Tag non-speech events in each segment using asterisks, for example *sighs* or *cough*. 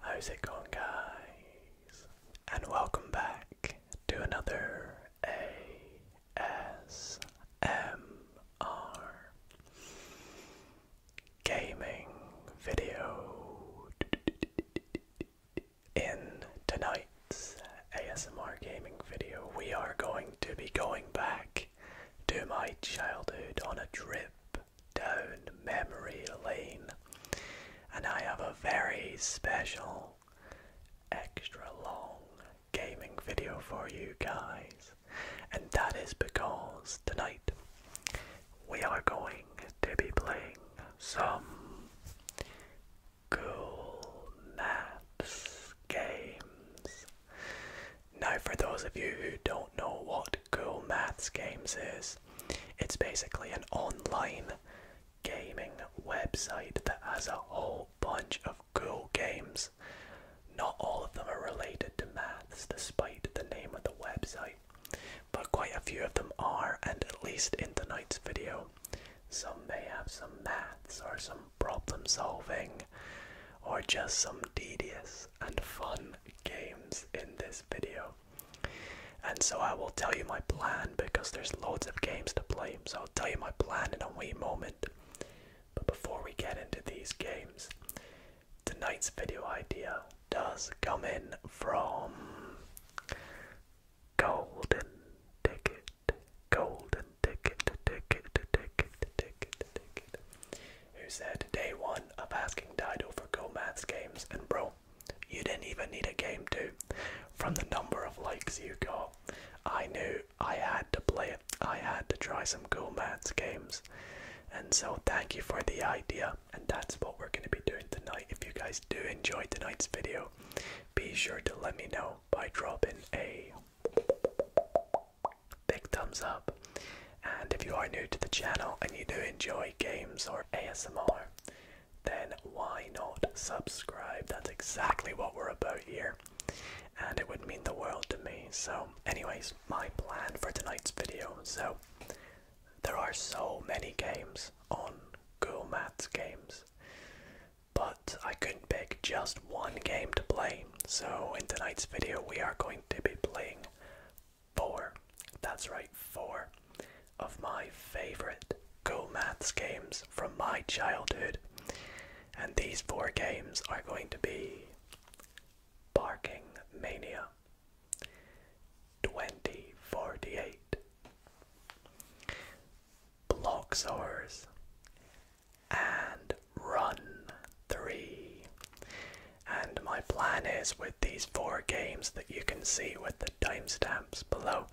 How's it going, guys? And welcome back to another ASMR gaming video. In tonight's ASMR gaming video, we are going to be going back to my childhood on a trip down memory lane, and I have a very special extra long gaming video for you guys, and that is because tonight we are going to be playing some cool maps games. Now, for those of you who don't know what Cool Maths Games is, it's basically an online gaming website that has a whole bunch of cool games. Not all of them are related to maths, despite the name of the website, but quite a few of them are, and at least in tonight's video, some may have some maths or some problem solving or just some tedious and fun games in this video. And so I will tell you my plan because there's loads of games to play. So I'll tell you my plan in a wee moment. But before we get into these games, tonight's video idea does come in from Golden Ticket. Golden Ticket, Ticket, Ticket, Ticket, Ticket. Who said day one of asking Dido for Go Maths games? And bro, you didn't even need a game to. From the number of likes you got, I knew I had to play it. I had to try some cool maths games. And so, thank you for the idea. And that's what we're going to be doing tonight. If you guys do enjoy tonight's video, be sure to let me know by dropping a big thumbs up. And if you are new to the channel and you do enjoy games or ASMR, then why not subscribe? That's exactly what we're about here. And it would mean the world to me. So, anyways, my plan for tonight's video. So, there are so many games on Google Maths Games, but I couldn't pick just one game to play. So, in tonight's video, we are going to be playing four. That's right, four of my favorite Go Maths games from my childhood. And these four games are going to be Barking Mania, 2048, Blocksaurs, and Run 3. And my plan is with these four games that you can see with the timestamps below.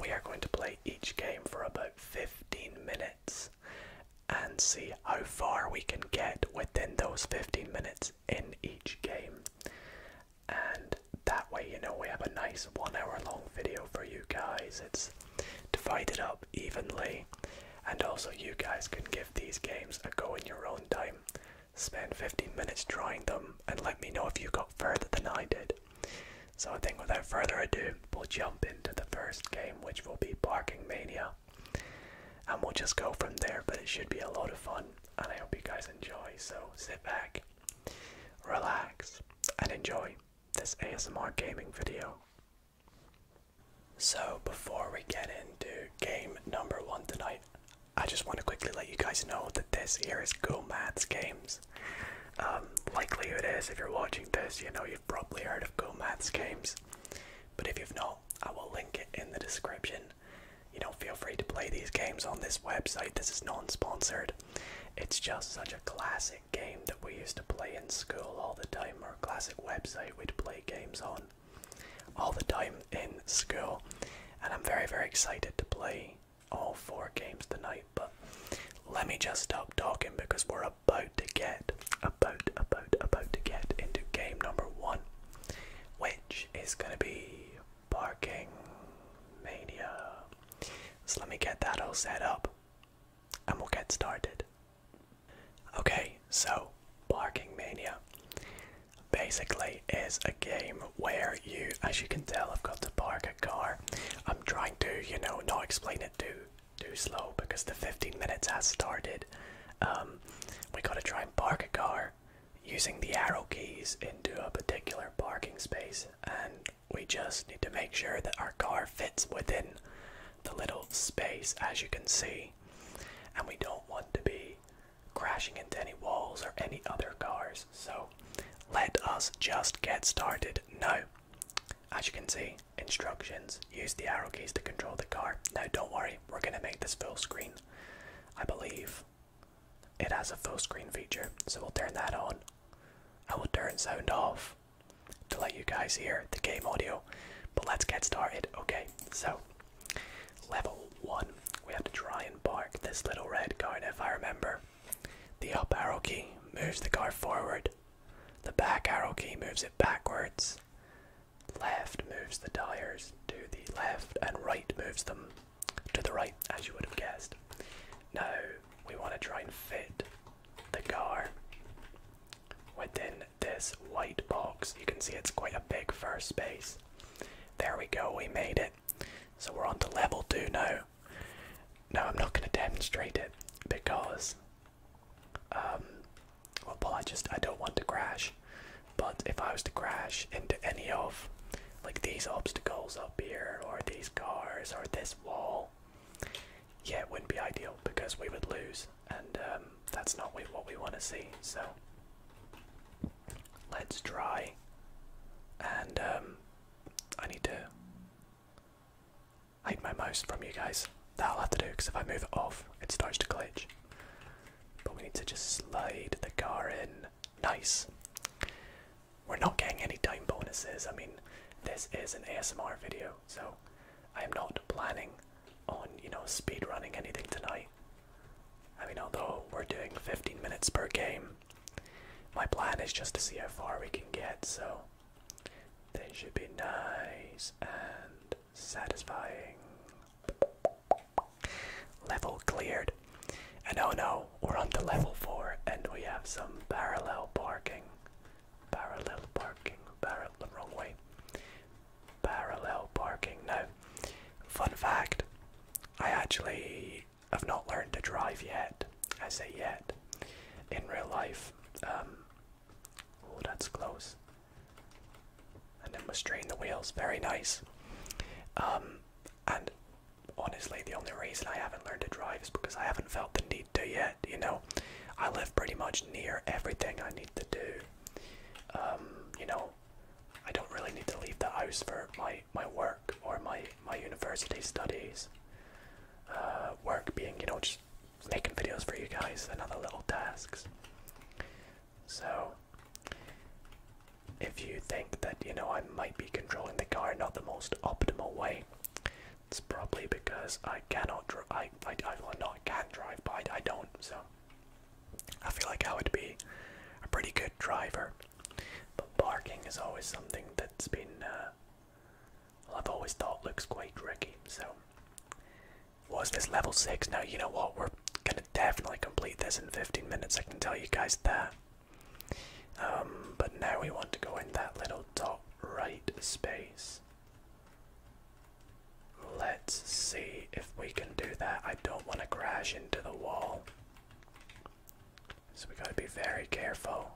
We are going to play each game for about 15 minutes and see how far we can get within those 15 minutes in each game. And that way, you know, we have a nice one hour long video for you guys. It's divided up evenly, and also you guys can give these games a go in your own time Spend 15 minutes drawing them and let me know if you got further than I did. So I think without further ado, we'll jump into the first game, which will be Parking Mania. And we'll just go from there, but it should be a lot of fun, and I hope you guys enjoy. So sit back, relax, and enjoy this ASMR gaming video. So before we get into game number one tonight, I just want to quickly let you guys know that this here is Go Maths Games. Um, likely it is, if you're watching this, you know you've probably heard of Go Maths Games. But if you've not, I will link it in the description. You know, feel free to play these games on this website. This is non sponsored. It's just such a classic game that we used to play in school all the time, or a classic website we'd play games on all the time in school, and I'm very, very excited to play all four games tonight. But let me just stop talking because we're about to get, about, about, about to get into game number one, which is going to be Parking Mania. So let me get that all set up and we'll get started. Okay, so Parking Mania basically is a game where you, as you can tell, I've got to park a car. I'm trying to, you know, not explain it too too slow because the 15 minutes has started. Um, we gotta try and park a car using the arrow keys into a particular parking space, and we just need to make sure that our car fits within the little space, as you can see. And we don't want to be crashing into any walls or any other cars. So let us just get started now. As you can see, instructions use the arrow keys to control the car. Now, don't worry, we're going to make this full screen. I believe it has a full screen feature, so we'll turn that on. I will turn sound off to let you guys hear the game audio, but let's get started. Okay, so Level 1. We have to try and park this little red car, if I remember, the up arrow key moves the car forward, the back arrow key moves it backwards, left moves the tires to the left, and right moves them to the right, as you would have guessed. Now, we want to try and fit the car within this white box. You can see it's quite a big first space. There we go, we made it. So we're on to level two now. No, I'm not going to demonstrate it because, um, well, I just I don't want to crash. But if I was to crash into any of like these obstacles up here, or these cars, or this wall, yeah, it wouldn't be ideal because we would lose, and um, that's not what we want to see. So Let's try. And um, I need to hide my mouse from you guys. That'll have to do because if I move it off, it starts to glitch. But we need to just slide the car in. Nice. We're not getting any time bonuses. I mean, this is an ASMR video, so I am not planning on, you know, speed running anything tonight. I mean, although we're doing 15 minutes per game, my plan is just to see how far we can get, so they should be nice and satisfying. Level cleared. And oh no, we're on the level 4 and we have some parallel parking. Parallel parking, parallel, the wrong way. Parallel parking. Now, Fun fact I actually have not learned to drive yet. I say yet. In real life, oh, that's close. And then we strain the wheels. Very nice. Um, and honestly, the only reason I haven't learned to drive is because I haven't felt the need to yet. You know, I live pretty much near everything I need to do. Um, you know, I don't really need to leave the house for my my work or my my university studies. Uh, work being you know just making videos for you guys and other little tasks. So if you think that you know I might be controlling the car not the most optimal way, it's probably because I cannot drive. I I I well, not can drive, but I don't. So I feel like I would be a pretty good driver but parking is always something that's been, uh, I've always thought looks quite tricky. So, was this level 6? Now, you know what? We're gonna definitely complete this in 15 minutes, I can tell you guys that. Um, but now we want to go in that little top right space. Let's see if we can do that. I don't want to crash into the wall. So we gotta be very careful.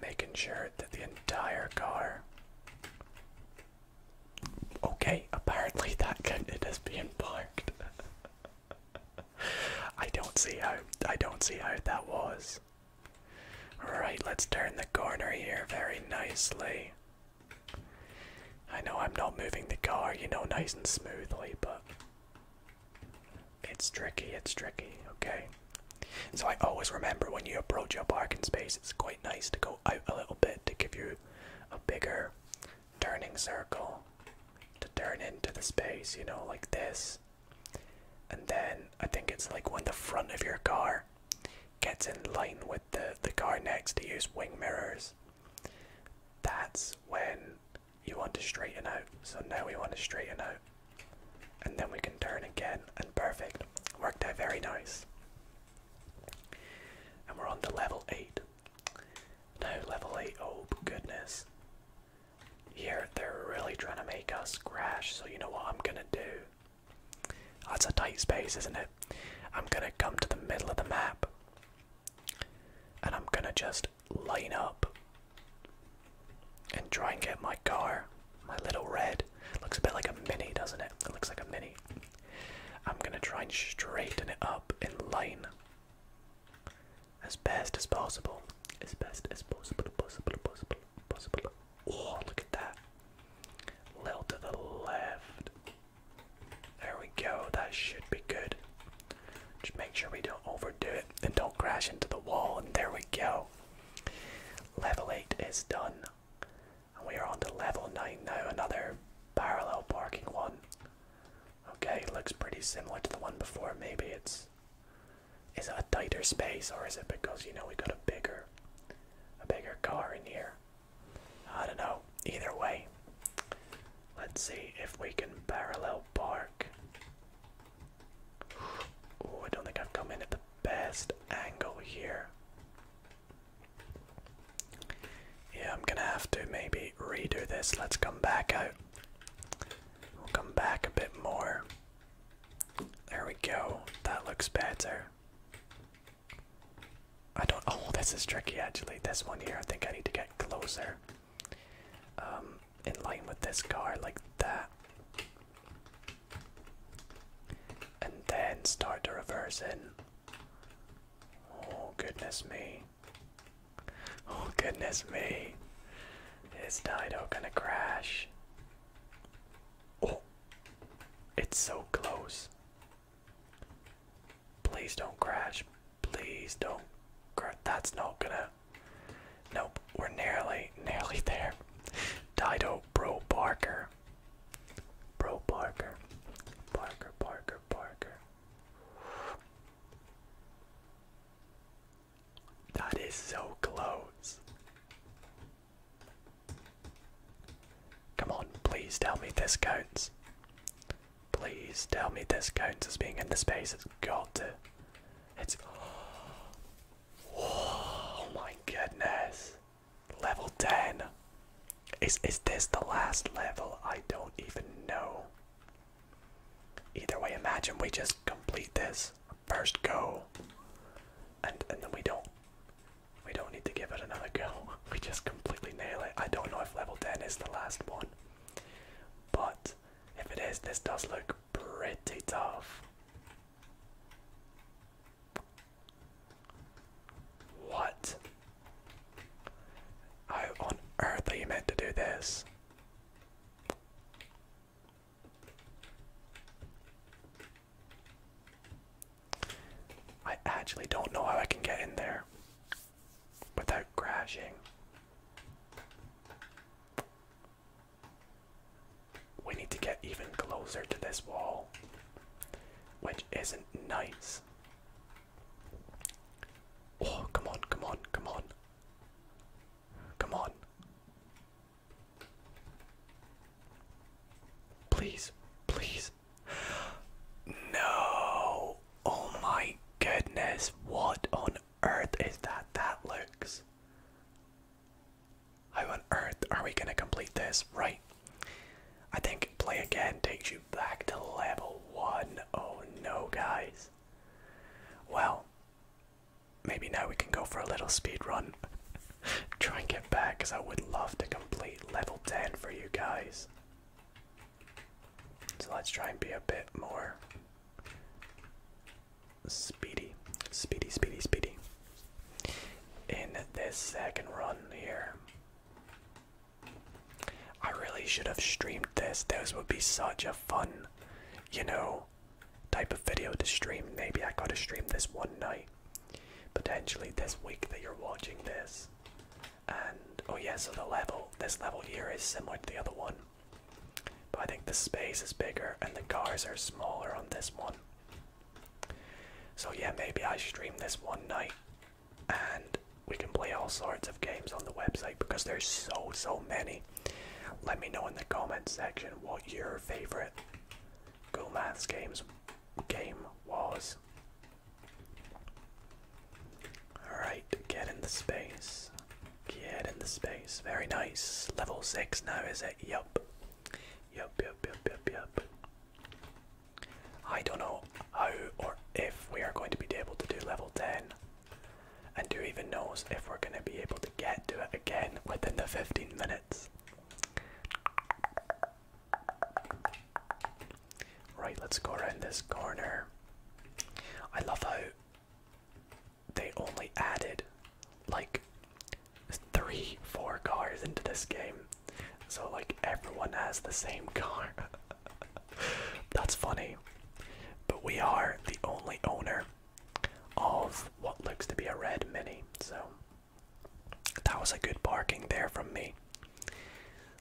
Making sure that the entire car. Okay, apparently that it *laughs* is being parked. *laughs* I don't see how I don't see how that was. Alright, let's turn the corner here very nicely. I know I'm not moving the car, you know, nice and smoothly, but it's tricky, it's tricky, okay? So I always remember when you approach your parking space, it's quite nice to go out a little bit to give you a bigger turning circle to turn into the space, you know, like this. And then I think it's like when the front of your car gets in line with the, the car next to use wing mirrors. That's when you want to straighten out. So now we want to straighten out. And then we can turn again, and perfect. Worked out very nice. And we're on to level 8. Now, level eight, oh goodness. Here, they're really trying to make us crash, so you know what I'm gonna do? That's a tight space, isn't it? I'm gonna come to the middle of the map and I'm gonna just line up and try and get my car, my little red. Looks a bit like a mini, doesn't it? It looks like a mini. I'm gonna try and straighten it up in line as best as possible. As best as possible, possible, possible, possible. Oh, look at that. Little to the left. There we go, that should be good. Just make sure we don't overdo it and don't crash into the wall, and there we go. Level 8 is done. And we are on to level 9 now, another parallel parking one. Okay, looks pretty similar to the one before. Maybe it's. Is it a tighter space, or is it because, you know, we got a bigger. A bigger car in here? I don't know. Either way, let's see if we can parallel park. Oh, I don't think I've come in at the best angle here. Yeah, I'm gonna have to maybe redo this. Let's come back out. We'll come back a bit more. There we go. That looks better. I don't. Oh, this is tricky actually. This one here, I think I need to get closer. Um, in line with this car, like that. And then start to reverse in. Oh, goodness me. Oh, goodness me. Is Dido gonna crash? Oh, it's so close. Please don't crash. Please don't crash. That's not gonna. Nope, we're nearly, nearly there. Dido, bro, Parker. Bro, Parker. Parker, Parker, Parker. That is so close. Come on, please tell me this counts. Please tell me this counts as being in the space. It's got to. It's. Oh my goodness. Level 10. Is, is this the last level? I don't even know. Either way, imagine we just complete this first go. And, and then we don't we don't need to give it another go. *laughs* We just completely nail it. I don't know if level 10 is the last one. But if it is, this does look pretty tough. What? How on earth are you meant to do this? I actually don't know how I can get in there without crashing. We need to get even closer to this wall, which isn't nice. Oh, come on, come on, come on. Come on. Please, please. No! Oh my goodness, what on earth is that? That looks. How on earth are we gonna complete this? Right. I think play again takes you back to level one. Oh no, guys. Well, maybe now we can go for a little speed run. *laughs* Try and get back because I would love to complete level 10 for you guys. So let's try and be a bit more speedy, speedy, speedy, speedy in this second run here. I really should have streamed this. This would be such a fun, you know, type of video to stream. Maybe I gotta stream this one night. Potentially this week that you're watching this. And oh yeah, so the level, this level here is similar to the other one. But I think the space is bigger and the cars are smaller on this one. So yeah, maybe I stream this one night and we can play all sorts of games on the website because there's so, so many. Let me know in the comment section what your favorite Google Maths games game was. Alright, get in the space. Get in the space. Very nice. Level 6 now, is it? Yup. Yup, yup, yup, yup, yup. I don't know how or if we are going to be able to do level 10. And who even knows if we're going to be able to get to it again within the 15 minutes. Right, let's go around this corner. I love how they only added like three, four cars into this game. So, like, everyone has the same car. *laughs* That's funny. But we are the only owner of what looks to be a red Mini, so that was a good parking there from me.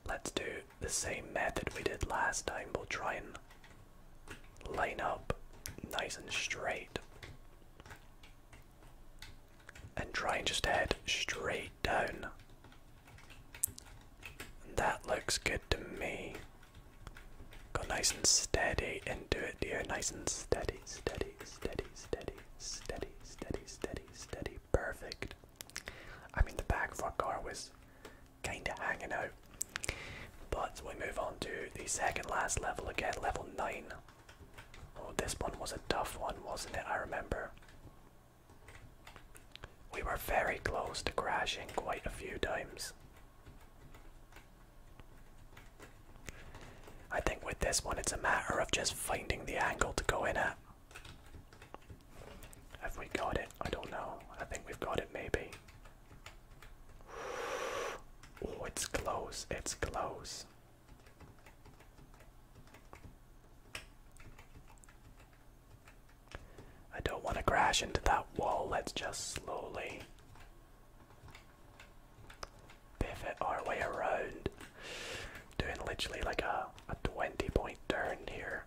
Let's do the same method we did last time. We'll try and line up nice and straight. And try and just head straight down. that looks good to me. Go nice and steady into it, dear. Nice and steady, steady, steady, steady, steady, steady, steady, steady. Perfect. I mean, the back of our car was kind of hanging out. But we move on to the second last level again, level 9. Oh, this one was a tough one, wasn't it? I remember. We were very close to crashing quite a few times. I think with this one, it's a matter of just finding the angle to go in at. Have we got it? I don't know. I think we've got it, maybe. Oh, it's close. It's close. I don't want to crash into that wall. Let's just slowly pivot our way around. Doing literally like a, a 20 point turn here.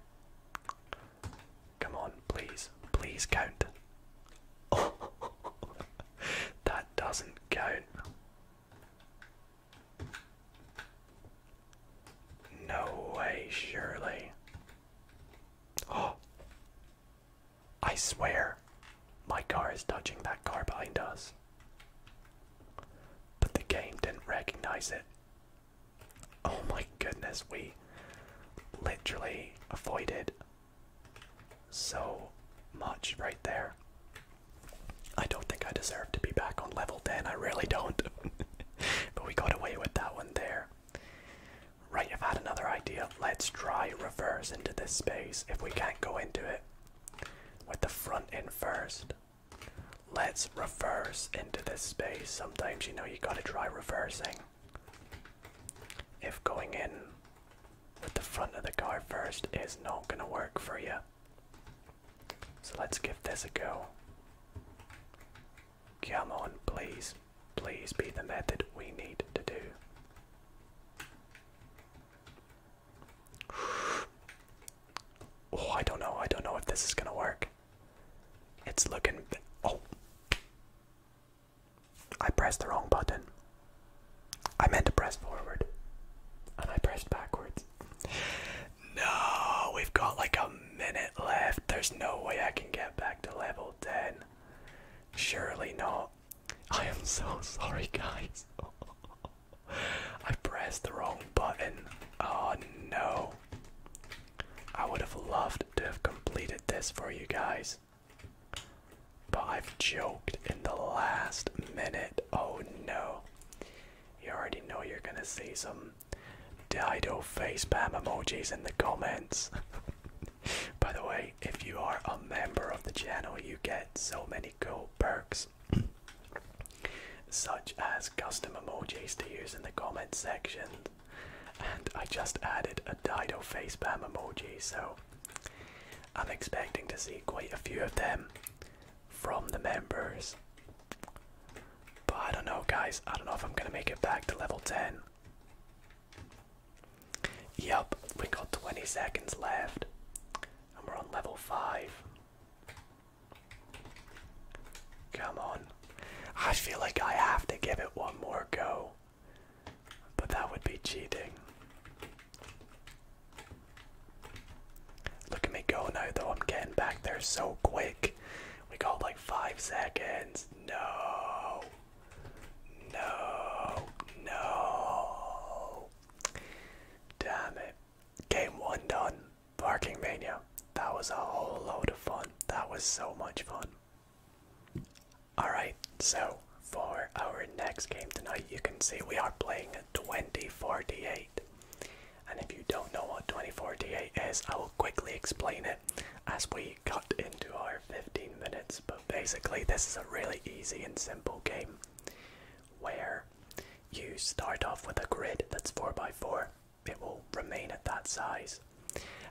Come on, please, please count. *laughs* that doesn't count. No way, surely. Oh, *gasps* I swear, my car is touching that car behind us. But the game didn't recognize it Oh my goodness, we literally avoided so much right there. I don't think I deserve to be back on level 10, I really don't. *laughs* but we got away with that one there. Right, I've had another idea. Let's try reverse into this space if we can't go into it with the front end first. Let's reverse into this space. Sometimes you know you gotta try reversing. If going in with the front of the car first is not gonna work for you. So let's give this a go. Come on, please. Please be the method we need to do. *sighs* Oh, I don't know. I don't know if this is gonna work. It's looking. Oh! I pressed the wrong button. I meant to press forward. And I pressed backwards. No! We've got like a minute left. There's no way I can get back to level 10. Surely not. I am so sorry, guys. *laughs* I pressed the wrong button. Oh no. I would have loved to have completed this for you guys. But I've joked in the last minute. Oh no. You already know you're gonna see some Dido facepalm emojis in the comments. *laughs* By the way, if you are a member of the channel, you get so many cool perks such as custom emojis to use in the comment section. And I just added a Dido facepalm emoji, so I'm expecting to see quite a few of them from the members. But I don't know, guys. I don't know if I'm gonna make it back to level 10. Yup, we got 20 seconds left, and we're on level 5. Come on. I feel like I have to give it one more go. But that would be cheating. Look at me go now though, I'm getting back there so quick. We got like five seconds. No. No. No. Damn it. Game one done. Parking Mania. That was a whole load of fun. That was so much fun. Alright, so for our next game tonight, you can see we are playing Twenty Four Eight. And if you don't know what Twenty Four Eight is, I will quickly explain it as we cut into our 15 minutes. But basically, this is a really easy and simple game where you start off with a grid that's 4x4 it will remain at that size.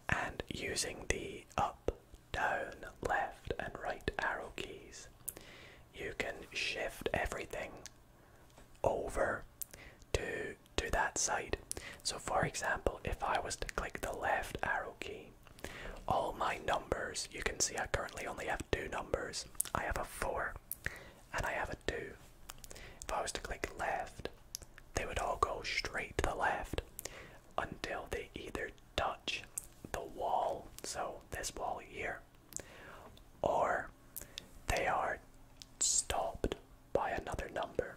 And using the up, down, left, and right arrow keys, you can shift everything over to to that side. So for example, if I was to click the left arrow key, all my numbers, you can see I currently only have two numbers. I have a 4 and I have a 2. If I was to click left, they would all go straight to the left until they either touch the wall, so this wall here, or they are stopped by another number.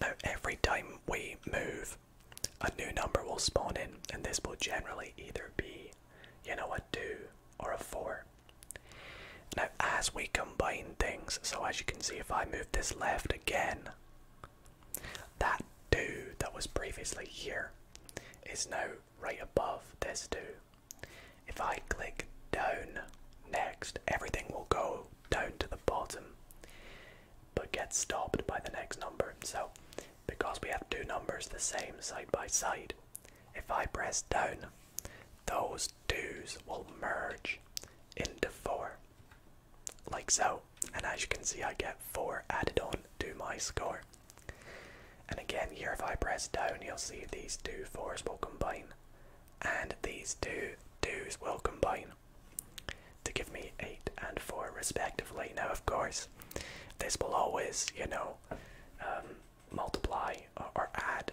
Now, every time we move, a new number will spawn in, and this will generally either be, you know, a 2 or a 4. Now, as we combine things, so as you can see, if I move this left again, that 2 that was previously here is now right above this 2. If I click down next, everything will go down to the bottom but get stopped by the next number. So, because we have two numbers the same side by side, if I press down, those twos will merge into four, like so. And as you can see, I get four added on to my score. And again, here if I press down, you'll see these two fours will combine, and these two twos will combine to give me eight and four respectively. Now, of course, this will always, you know, um, multiply or add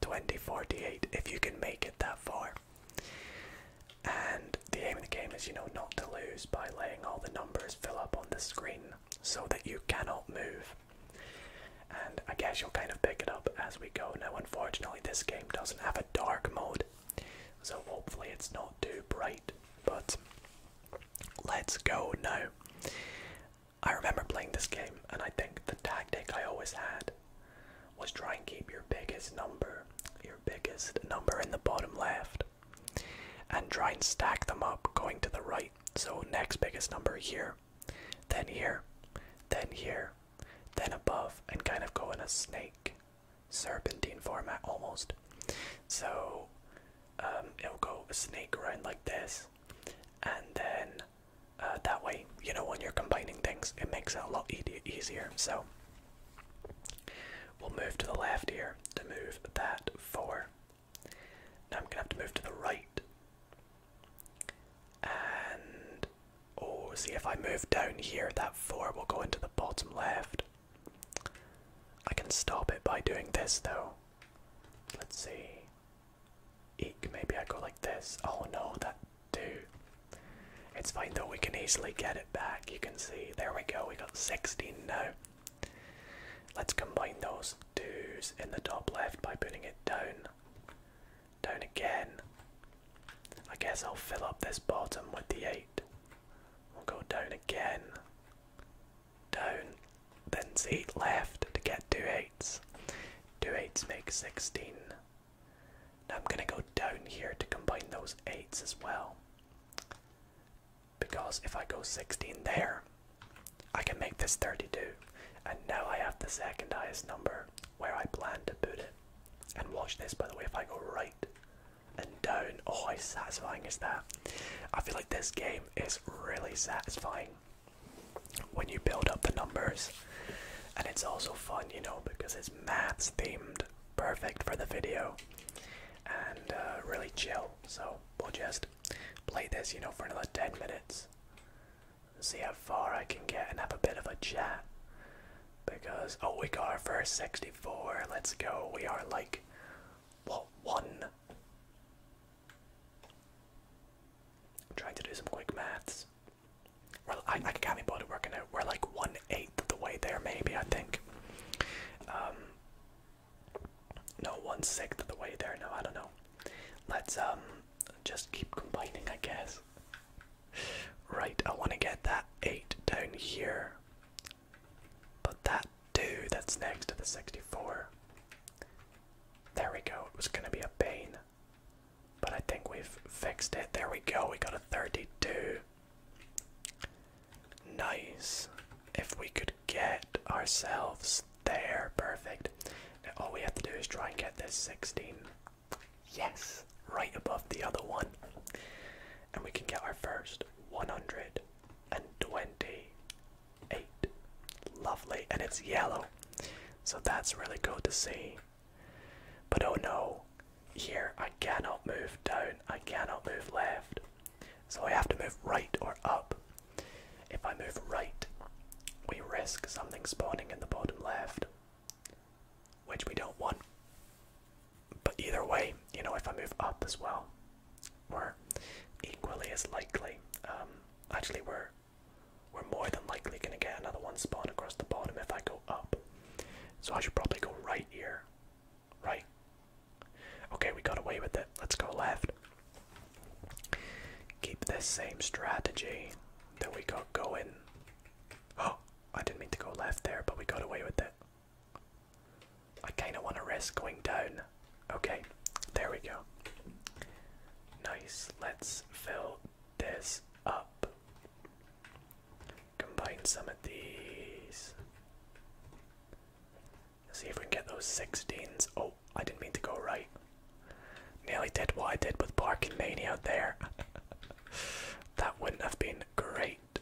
2048 if you can make it that far. And the aim of the game is, you know, not to lose by laying all the numbers fill up on the screen so that you cannot move. And I guess you'll kind of pick it up as we go. Now, unfortunately, this game doesn't have a dark mode, so hopefully it's not too bright. But let's go now. I remember playing this game, and I think the tactic I always had was try and keep your biggest number, your biggest number in the bottom left, and try and stack them up going to the right. So, next biggest number here, then here, then here, then above, and kind of go in a snake serpentine format almost. So, um, it'll go a snake around like this, and then uh, that way you know when you're combining things it makes it a lot easier so we'll move to the left here to move that four now i'm gonna have to move to the right and oh see if i move down here that four will go into the bottom left i can stop it by doing this though let's see Eek, maybe I go like this. Oh no, that dude. It's fine though, we can easily get it back. You can see, there we go, we got 16 now. Let's combine those twos in the top left by putting it down. Down again. I guess I'll fill up this bottom with the 8. We'll go down again. Down. Then see left to get two eights. Two eights make 16. Now I'm going to go down here to combine those 8s as well. Because if I go 16 there, I can make this 32. And now I have the second highest number where I plan to put it. And watch this, by the way, if I go right and down, oh, how satisfying is that? I feel like this game is really satisfying when you build up the numbers. And it's also fun, you know, because it's maths themed, perfect for the video, and uh, really chill. So we'll just play this, you know, for another 10 minutes. See how far I can get and have a bit of a chat. Because, oh, we got our first 64. Let's go. We are like, what, one? trying to do some quick maths. Well, I, I can't be bothered working out. We're like one eighth of the way there, maybe. I think. Um, no, one sixth of the way there. No, I don't know. Let's um just keep combining, I guess. Right, I want to get that eight down here. But that two that's next to the sixty-four. There we go. It was gonna be a pain. But I think we've fixed it. There we go. We got a 32. Nice. If we could get ourselves there, perfect. Now all we have to do is try and get this 16. Yes, right above the other one. And we can get our first 128. Lovely. And it's yellow. So that's really cool to see. But oh no, here I cannot move down, I cannot move left. So I have to move right or up. If I move right, we risk something spawning in the bottom left, which we don't want. But either way, you know, if I move up as well, we're equally as likely. Um, actually, we're we're more than likely going to get another one spawn across the bottom if I go up. So I should probably go right here. Right? Okay, we got away with it. Let's go left. Keep this same strategy that we got going. Oh, I didn't mean to go left there, but we got away with it. I kind of want to risk going down. Okay, there we go. Nice. Let's fill this up. Combine some of these. Let's see if we can get those 16s. Oh, I didn't mean to go right. Nearly did what I did with Parking Mania there. *laughs* that wouldn't have been great.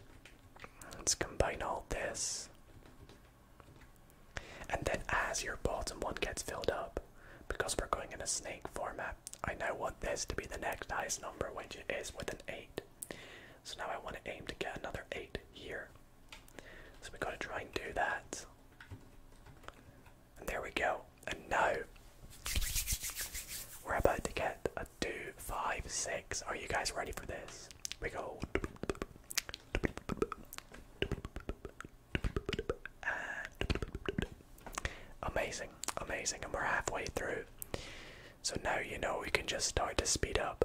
Let's combine all this. And then as your bottom one gets filled up, because we're going in a snake format, I now want this to be the next highest number, which is with an 8. So now I want to aim to get another 8 here. So we gotta try and do that. And there we go. And now we're about to get a 2, 5, 6. Are you guys ready for this? We go amazing, amazing, and we're halfway through. So now you know we can just start to speed up.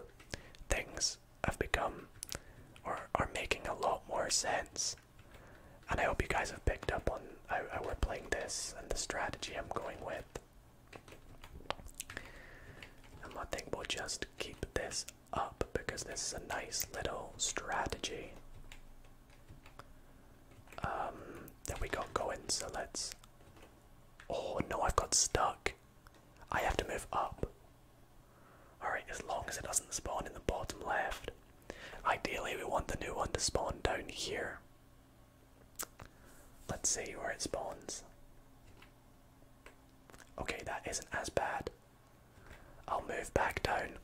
Things have become or are making a lot more sense. And I hope you guys have picked up on how, we're playing this and the strategy I'm going with. And I think we'll just keep this up because this is a nice little strategy. Um, then we got going, so let's. Oh no, I've got stuck. I have to move up. Alright, as long as it doesn't spawn in the bottom left. Ideally, we want the new one to spawn down here. Let's see where it spawns. Okay, that isn't as bad. I'll move back down.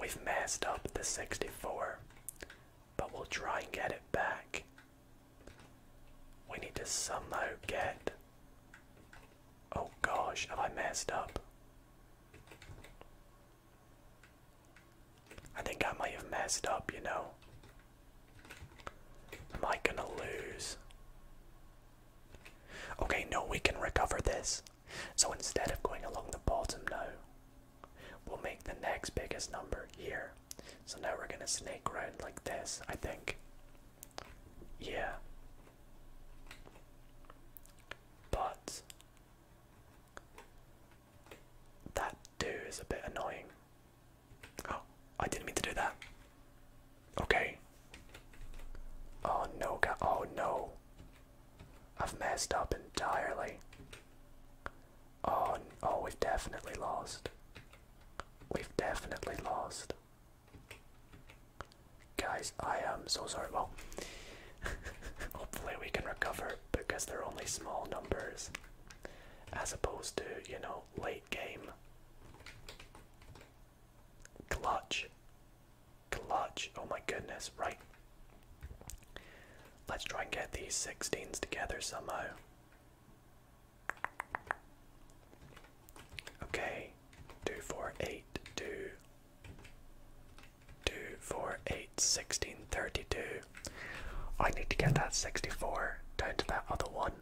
We've messed up the 64, but we'll try and get it back. We need to somehow get. Oh gosh, have I messed up? I think I might have messed up, you know. Am I gonna lose? Okay, no, we can recover this. So instead of going along the bottom now, we'll make the next biggest number here. So now we're going to snake around like this, I think. Yeah. But that do is a bit annoying. Oh, I didn't mean to do that. Okay. Oh no, God. oh no. I've messed up entirely. Oh, oh, we've definitely lost. We've definitely lost. Guys, I am so sorry. Well, *laughs* hopefully we can recover because they're only small numbers as opposed to, you know, late game. Clutch. Clutch. Oh my goodness, right. Let's try and get these 16s together somehow. Okay, two, four, eight, two, two, four, eight, 16, 32. I need to get that 64 down to that other one.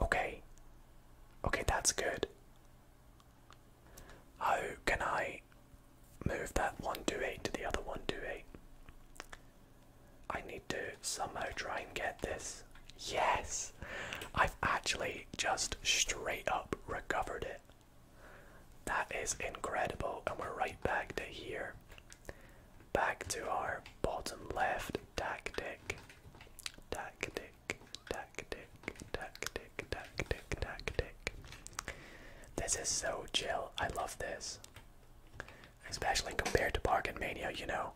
Okay. Okay, that's good. How can I move that 128 to the other 128? I need to somehow try and get this. Yes! I've actually just straight up recovered it. That is incredible, and we're right back to here. Back to our bottom left tactic. Tactic, tactic tactic, tactic, tactic. This is so chill. I love this. Especially compared to Bargain Mania, you know.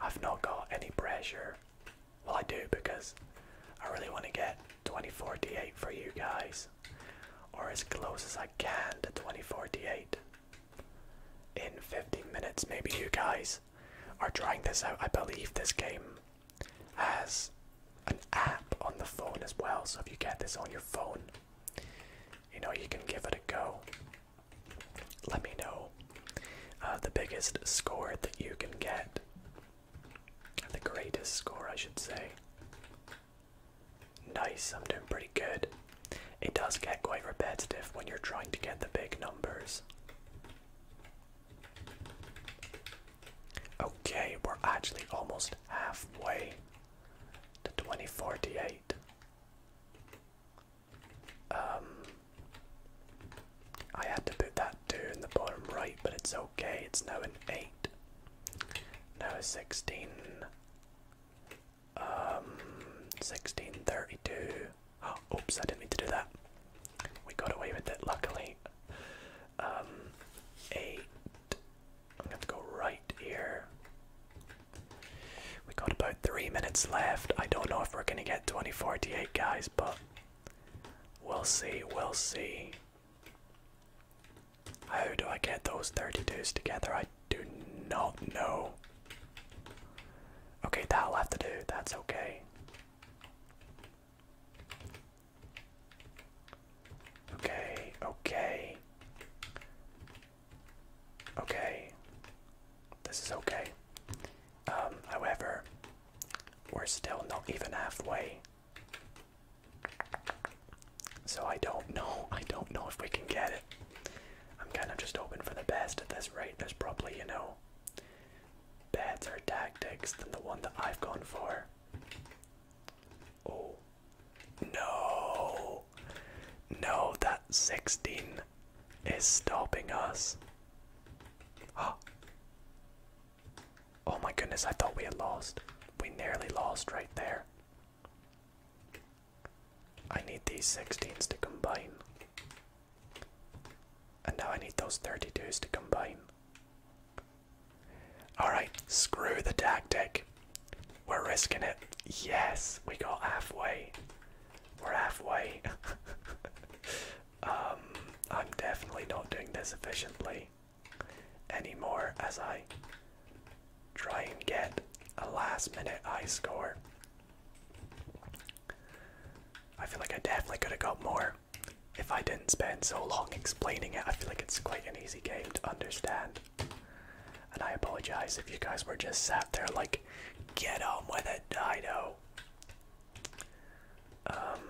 I've not got any pressure. Well, I do because I really want to get 2048 for you guys. Or as close as I can to 2048. In 15 minutes, maybe you guys are trying this out. I believe this game has an app on the phone as well. So if you get this on your phone, you know you can give it a go. Let me know uh, the biggest score that you can get, the greatest score, I should say. Nice, I'm doing pretty good. It does get quite repetitive when you're trying to get the big numbers. Okay, we're actually almost halfway to 2048. Um, I had to put that 2 in the bottom right, but it's okay, it's now in 8. Now a 16. Um, 1632. *gasps* oops, I didn't mean to do that. We got away with it, luckily. Um, eight. I'm gonna go right here. We got about three minutes left. I don't know if we're gonna get 2048, guys, but we'll see. We'll see. How do I get those 32s together? I do not know. Okay, that'll have to do. That's okay. Okay, okay. Okay. This is okay. Um, however, we're still not even halfway. So I don't know. *laughs* I don't know if we can get it. I'm kind of just hoping for the best at this rate. There's probably, you know, better tactics than the one that I've gone for. Oh no! No, that 16 is stopping us. Oh. *gasps* oh my goodness, I thought we had lost. We nearly lost right there. I need these 16s to combine. And now I need those 32s to combine. Alright, screw the tactic. We're risking it. Yes, we got halfway. We're halfway. *laughs* um, I'm definitely not doing this efficiently anymore as I try and get a last minute high score. I feel like I definitely could have got more if I didn't spend so long explaining it, I feel like it's quite an easy game to understand. And I apologize if you guys were just sat there like, get on with it, Dido. Um,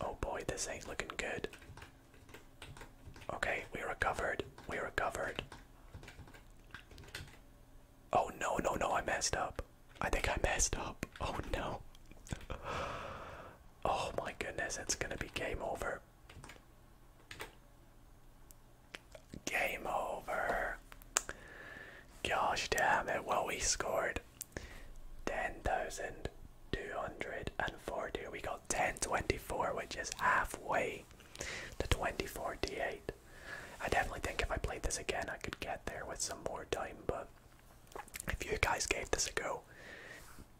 oh boy, this ain't looking good. Okay, we recovered. We recovered. Oh no, no, no, I messed up. I think I messed up. *laughs* Oh no. Oh my goodness, it's going to be game over. Game over. Gosh damn it. Well, we scored 10,240. We got 1024, which is halfway to 2048. I definitely think if I played this again, I could get there with some more time, but if you guys gave this a go,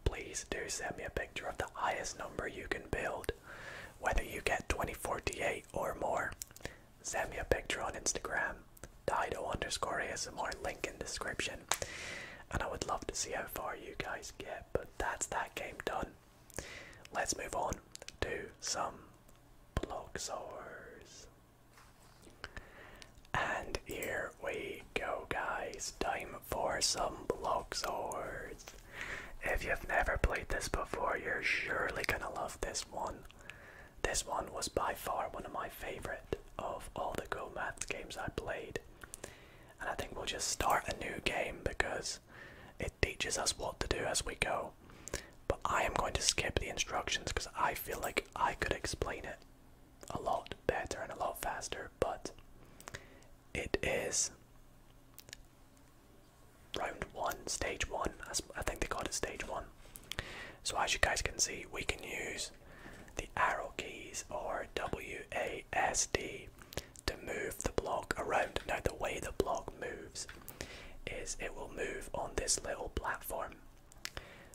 please do send me a picture of the highest number you can build, whether you get 2048 or more. Send me a picture on Instagram, Dido underscore ASMR, link in description. And I would love to see how far you guys get, but that's that game done. Let's move on to some block Bloxars. And here we go, guys. Time for some block swords. If you've never played this before, you're surely gonna love this one. This one was by far one of my favorite of all the Go Math games I played. And I think we'll just start a new game because it teaches us what to do as we go. But I am going to skip the instructions because I feel like I could explain it a lot better and a lot faster, but it is round one, stage one. I think they call it stage one. So, as you guys can see, we can use the arrow keys or WASD to move the block around. Now, the way the block moves is it will move on this little platform.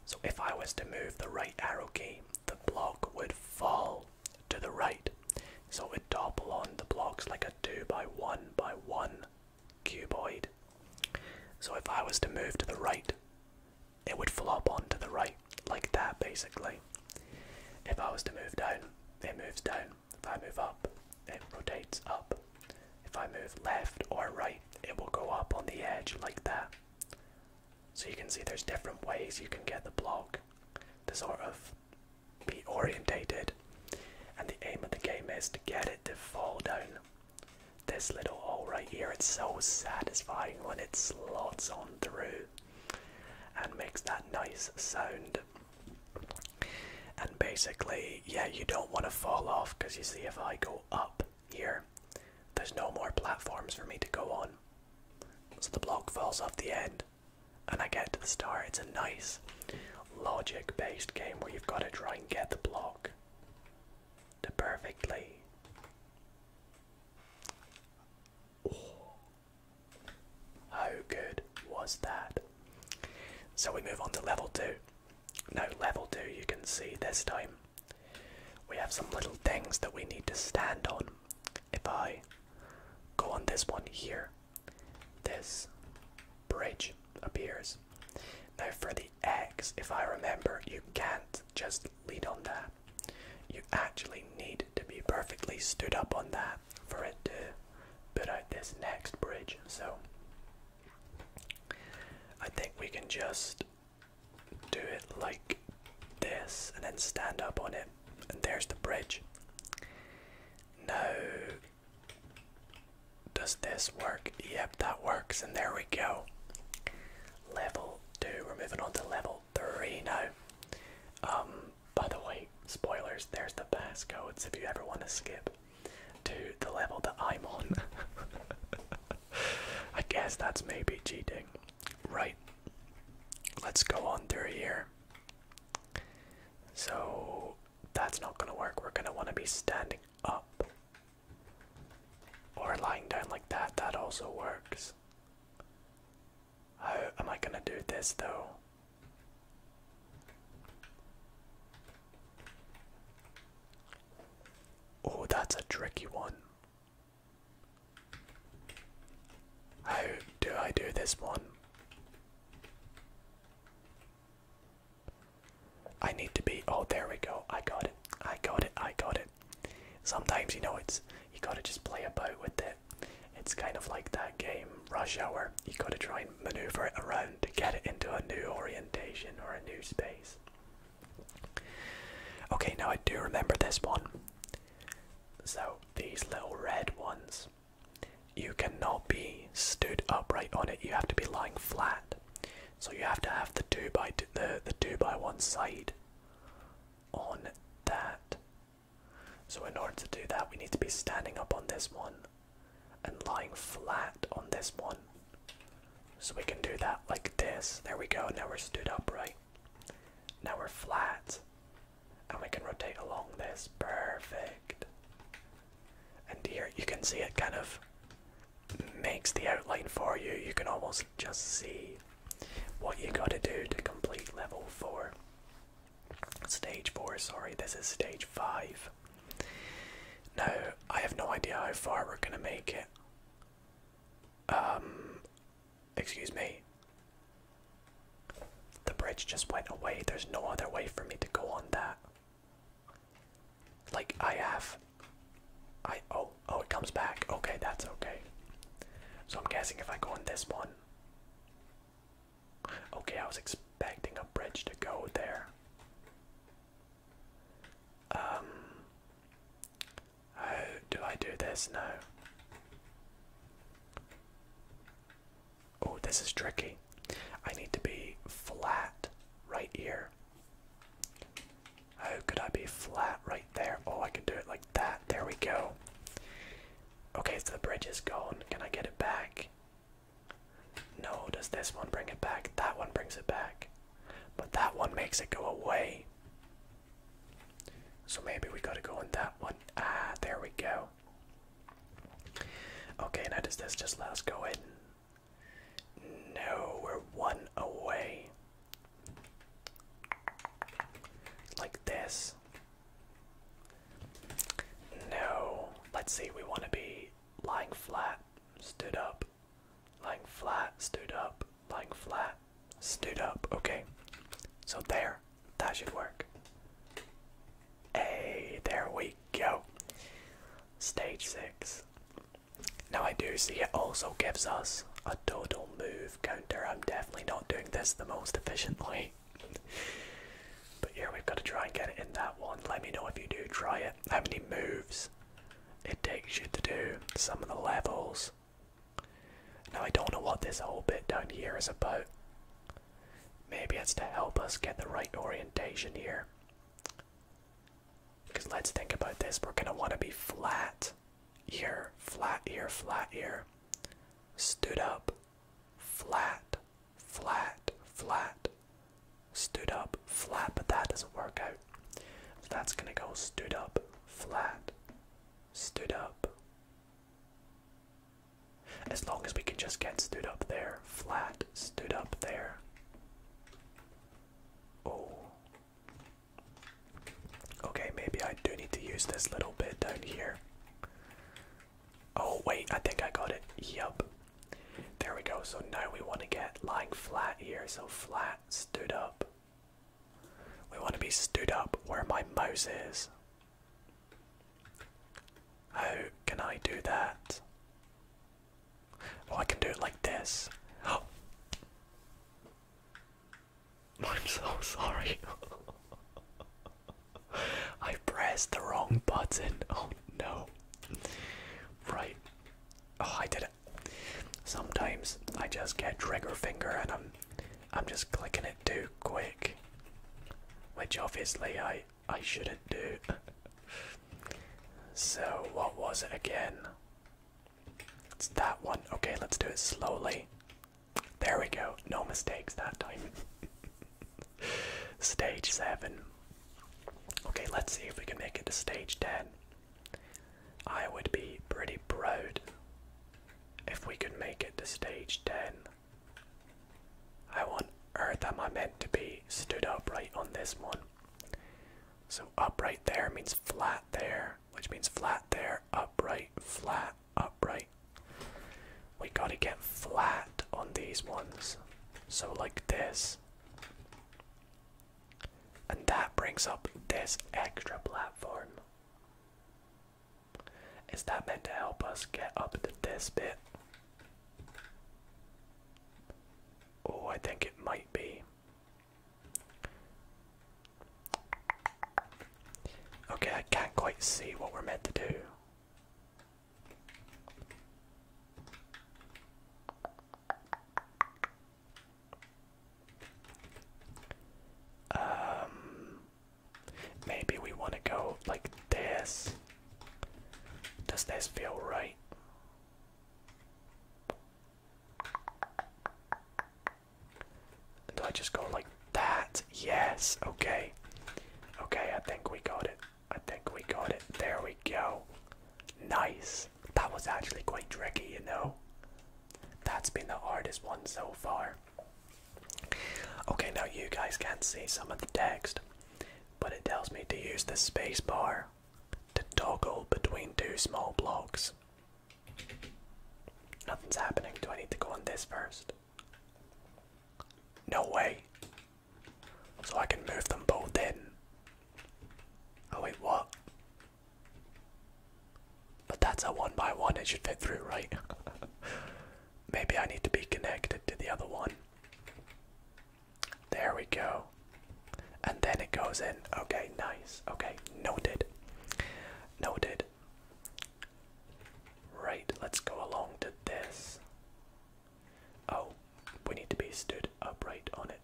So, if I was to move the right arrow key, the block would fall to the right. So it would double on the blocks like a 2 by 1 by 1 cuboid. So if I was to move to the right, it would flop onto the right, like that basically. If I was to move down, it moves down. If I move up, it rotates up. If I move left or right, it will go up on the edge like that. So you can see there's different ways you can get the block to sort of be orientated. And the aim of the game is to get it to fall down this little hole right here. It's so satisfying when it slots on through and makes that nice sound. And basically, yeah, you don't want to fall off because you see, if I go up, here. There's no more platforms for me to go on. So the block falls off the end, and I get to the star. It's a nice logic based game where you've got to try and get the block to perfectly. Oh, how good was that? So we move on to level 2. Now, level 2, you can see this time we have some little things that we need to stand on. If I go on this one here, this bridge appears. Now, for the eggs, if I remember, you can't just lean on that. You actually need to be perfectly stood up on that for it to put out this next bridge. So, I think we can just do it like this and then stand up on it, and there's the bridge. Now, does this work? Yep, that works, and there we go. Level 2, we're moving on to level 3 now. Um, by the way, spoilers, there's the pass codes if you ever want to skip to the level that I'm on. *laughs* *laughs* I guess that's maybe cheating. Right. Let's go on through here. So that's not gonna work. We're gonna wanna be standing up. Or lying down like that, that also works. How am I gonna do this though? Oh, that's a tricky one. How do I do this one? I need to be. Oh, there we go. I got it. I got it. I got it. Sometimes, you know, it's. You gotta just play about with it. It's kind of like that game, Rush Hour. You gotta try and maneuver it around to get it into a new orientation or a new space. Okay, now I do remember this one. So, these little red ones, you cannot be stood upright on it, you have to be lying flat. So, you have to have the 2 by the, the 2 by 1 side on that. So, in order to do that, we need to be standing up on this one and lying flat on this one. So we can do that like this. There we go. Now we're stood upright. Now we're flat. And we can rotate along this. Perfect. And here you can see it kind of makes the outline for you. You can almost just see what you gotta do to complete level 4. Stage 4, sorry, this is stage 5. Now, I have no idea how far we're gonna make it. Um, Excuse me. The bridge just went away. There's no other way for me to go on that. Like, I have. I. Oh, oh, it comes back. Okay, that's okay. So I'm guessing if I go on this one. Okay, I was expecting a bridge to go there. Um. Oh, do I do this? No. Oh, this is tricky. I need to be flat right here. How oh, could I be flat right there? Oh, I can do it like that. There we go. Okay, so the bridge is gone. Can I get it back? No, does this one bring it back? That one brings it back. But that one makes it go away. So maybe we gotta go in that one. Ah, there we go. Okay, now does this just let us go in? No, we're one away. Like this. No. Let's see, we want to be lying flat, stood up lying flat, stood up, lying flat, stood up. Okay, so there, that should work. Hey, there we go. Stage six. Now I do see it also gives us a total move counter. I'm definitely not doing this the most efficiently. but yeah, we've got to try and get it in that one. Let me know if you do try it. How many moves it takes you to do some of the levels. Now I don't know what this whole bit down here is about. Maybe it's to help us get the right orientation here. Because let's think about this, we're gonna wanna be flat here, flat here, flat here. Stood up, flat, flat, flat. Stood up, flat, but that doesn't work out that's gonna go stood up, flat, stood up. As long as we can just get stood up there, flat, stood up there. Oh. Okay, maybe I do need to use this little bit down here. Oh, wait, I think I got it. Yup. There we go. So now we want to get lying flat here. So flat, stood up. We want to be stood up where my mouse is. How can I do that? Oh, I can do it like this. Oh. *gasps* I'm so sorry. *laughs* I pressed the wrong button. Oh no. Right. Oh, I did not Sometimes I just get trigger finger and I'm I'm just clicking it too quick. Which obviously I I shouldn't do. *laughs* so what was it again? It's that one. Okay, let's do it slowly. There we go. No mistakes that time. *laughs* stage 7. Okay, let's see if we can make it to stage 10. I would be pretty proud if we could make it to stage 10. I on earth am I meant to be stood upright on this one? So upright there means flat there, which means flat there, upright, flat, upright. We gotta get flat on these ones. So like this. And that brings up this extra platform. Is that meant to help us get up to this bit? Oh, I think it might be. Okay, I can't quite see what we're meant to do. Um, maybe we want to go like this. Does this feel right? Do I just go like that? Yes, okay. Okay, I think we got it. I think we got it. There we go. Nice that was actually quite tricky, you know. That's been the hardest one so far. Okay, now you guys can see some of the text, but it tells me to use the spacebar to toggle between two small blocks. Nothing's happening. Do I need to go on this first? No way. So I can move them both in. Oh wait, what? But that's a one by one, it should fit through, right? *laughs* Maybe I need to be connected to the other one. There we go. And then it goes in. Okay, nice. Okay, noted. Noted. Right, let's go along to this. Oh, we need to be stood upright on it.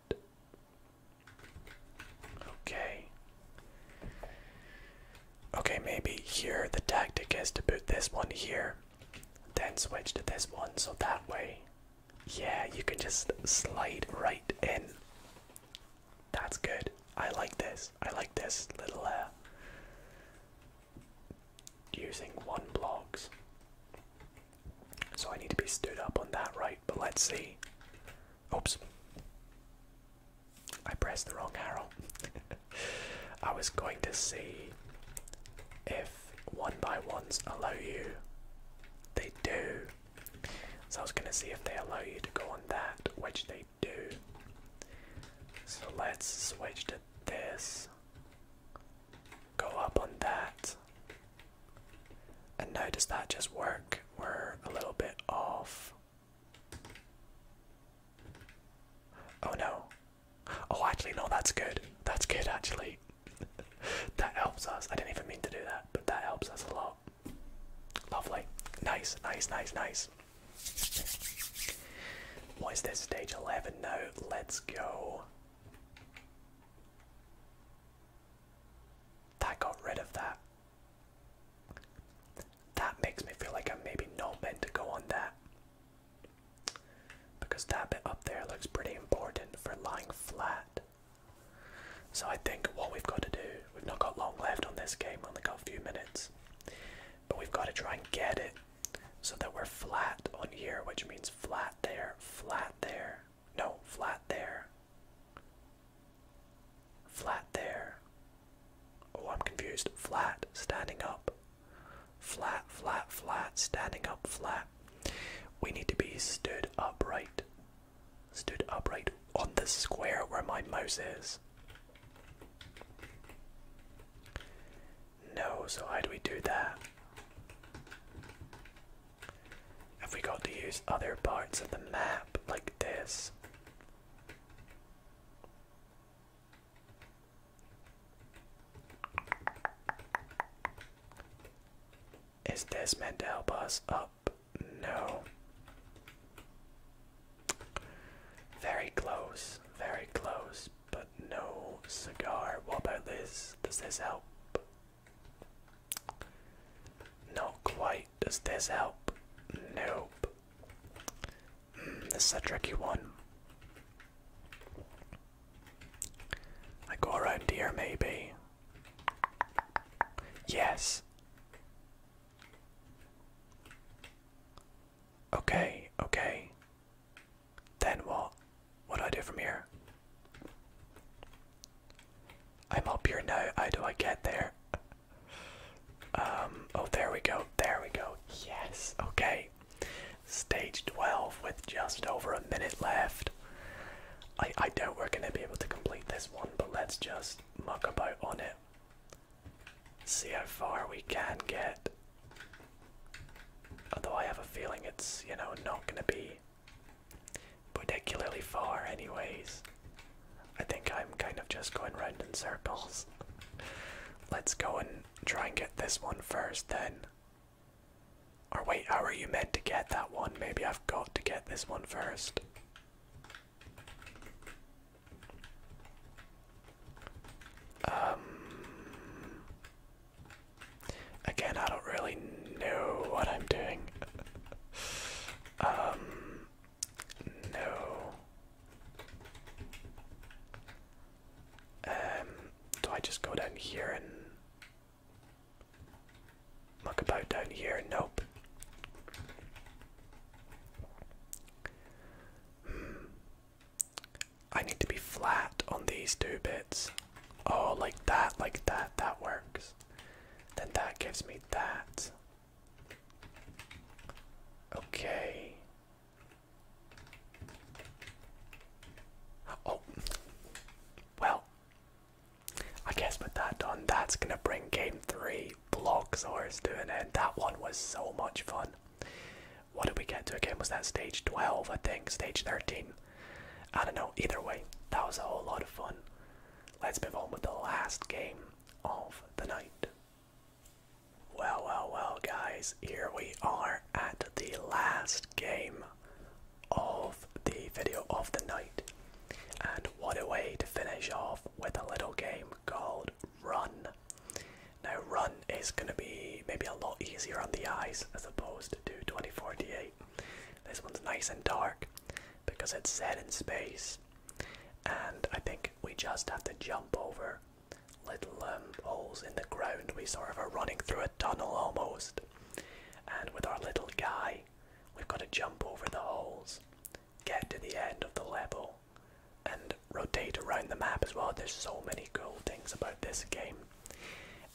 Okay. Okay, maybe here the tactic is to put this one here, then switch to this one, so that way, yeah, you can just slide right in. That's good. I like this. I like this little uh, using one blocks. So I need to be stood up on that right, but let's see. Oops. I pressed the wrong arrow. *laughs* I was going to see if one by ones allow you. They do. So I was going to see if they allow you to go on that, which they do. So let's switch to this. Go up on that. And now does that just work? We're a little bit off. Oh no. Oh, actually, no, that's good. That's good, actually. *laughs* that helps us. I didn't even mean to do that, but that helps us a lot. Lovely. Nice, nice, nice, nice. What is this? Stage 11 now. Let's go. That got rid of that. That makes me feel like I'm maybe not meant to go on that. Because that bit up there looks pretty important for lying flat. So I think what we've got to do, we've not got long left on this game, only got a few minutes. But we've got to try and get it so that we're flat on here, which means flat there, flat there, no, flat there. Flat there. Oh, I'm confused. Flat, standing up. Flat, flat, flat, standing up, flat. We need to be stood upright. Stood upright on the square where my mouse is. No, so how do we do that? Have we got to use other parts of the map like this? Is this meant to help us up? No. Very close, very close, but no cigar. What about this? Does this help? Not quite. Does this help? Nope. Hmm, this is a tricky one. I go around here, maybe. Yes. Okay, okay. Then what? What do I do from here? I'm up here now. How do I get there? Um, oh, there we go. There we go. Yes. Okay. Stage 12 with just over a minute left. I, I doubt we're going to be able to complete this one, but let's just muck about on it. See how far we can get. Although I have a feeling it's, you know, not going to be particularly far, anyways. I think I'm kind of just going round in circles. *laughs* Let's go and try and get this one first, then. Or wait, how are you meant to get that one? Maybe I've got to get this one first. Um. Again, I don't really know what I'm doing. *laughs* um. No. Um, do I just go down here and muck about down here? Nope. Hmm. I need to be flat on these two bits. Oh, like that, like that, that works. Then that gives me that. Okay. Oh, well, I guess with that done, that's gonna bring game three Bloxars to doing end. That one was so much fun. What did we get to again? Was that stage 12, I think? Stage 13? I don't know. Either way, that was a whole lot of fun. Let's move on with the last game of the night. Well, well, well, guys, here we are at the last game of the video of the night. And what a way to finish off with a little game called Run. Now, Run is going to be maybe a lot easier on the eyes as opposed to 2048. This one's nice and dark because it's set in space and I think we just have to jump over little um, holes in the ground. We sort of are running through a tunnel almost. And with our little guy, we've got to jump over the holes, get to the end of the level, and rotate around the map as well. There's so many cool things about this game.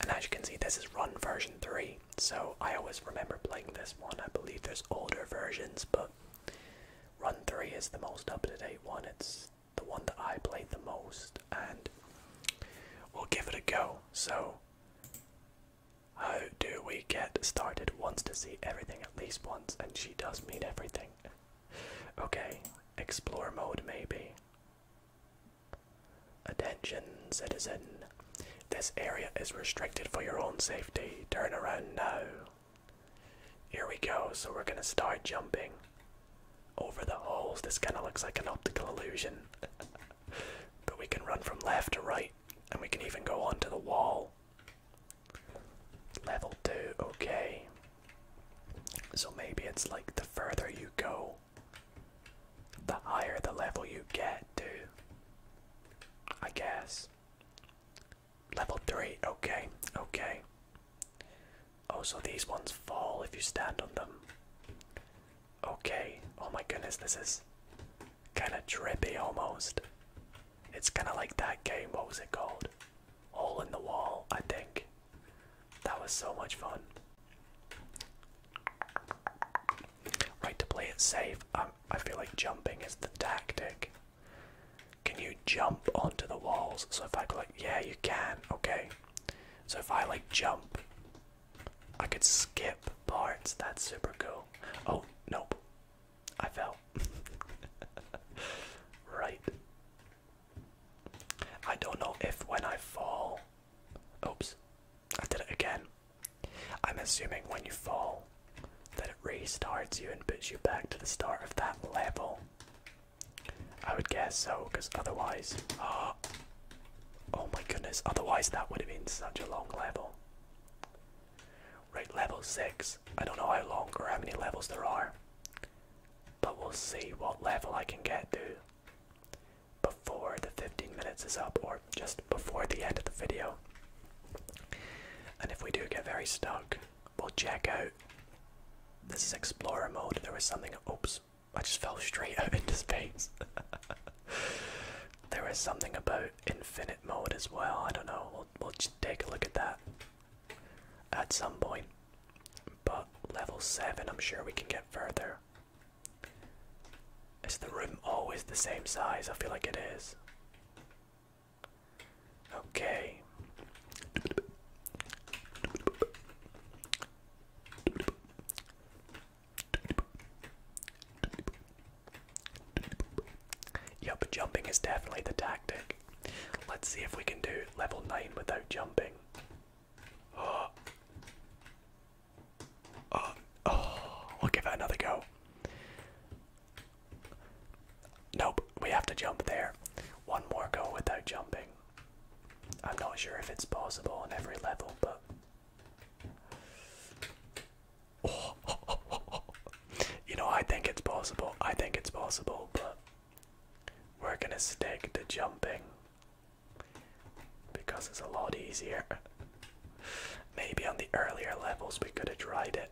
And as you can see, this is run version 3. So I always remember playing this one. I believe there's older versions, but Run 3 is the most up to date one. It's the one that I played the most, and we'll give it a go. So, how do we get started? Wants to see everything at least once, and she does mean everything. okay, explore mode maybe. Attention, citizen. This area is restricted for your own safety. Turn around now. Here we go. So we're gonna start jumping over the holes. This kind of looks like an optical illusion. *laughs* but we can run from left to right and we can even go onto the wall. Level 2, okay. So maybe it's like the further you go, the higher the level you get to. I guess. Level 3, okay, okay. Oh, so these ones fall if you stand on them. Okay, oh my goodness, this is kinda trippy almost. It's kinda like that game, what was it called? Hole in the Wall, I think. That was so much fun. Right, to play it safe, um, I feel like jumping is the tactic. Can you jump onto the walls? So if I go like, yeah, you can, okay. So if I like jump, I could skip parts, that's super cool. Oh, nope, I fell. *laughs* right. I don't know if when I fall, oops, I did it again. I'm assuming when you fall that it restarts you and puts you back to the start of that level. I would guess so, because otherwise. Ah, oh, my goodness, otherwise that would have been such a long level. Right, level 6. I don't know how long or how many levels there are, but we'll see what level I can get to before the 15 minutes is up or just before the end of the video. And if we do get very stuck, we'll check out. This is explorer mode. There was something. Oops, I just fell straight *laughs* out into space. there is something about infinite mode as well. I don't know. We'll, we'll just take a look at that at some point. But level 7, I'm sure we can get further. Is the room always the same size? I feel like it is. Okay. Yep, jumping is definitely the tactic. Let's see if we can do level 9 without jumping. Oh. *gasps* Oh. oh, we'll give it another go. Nope, we have to jump there. One more go without jumping. I'm not sure if it's possible on every level, but. *laughs* You know, I think it's possible. I think it's possible, but we're gonna stick to jumping because it's a lot easier. Maybe on the earlier levels we could have tried it.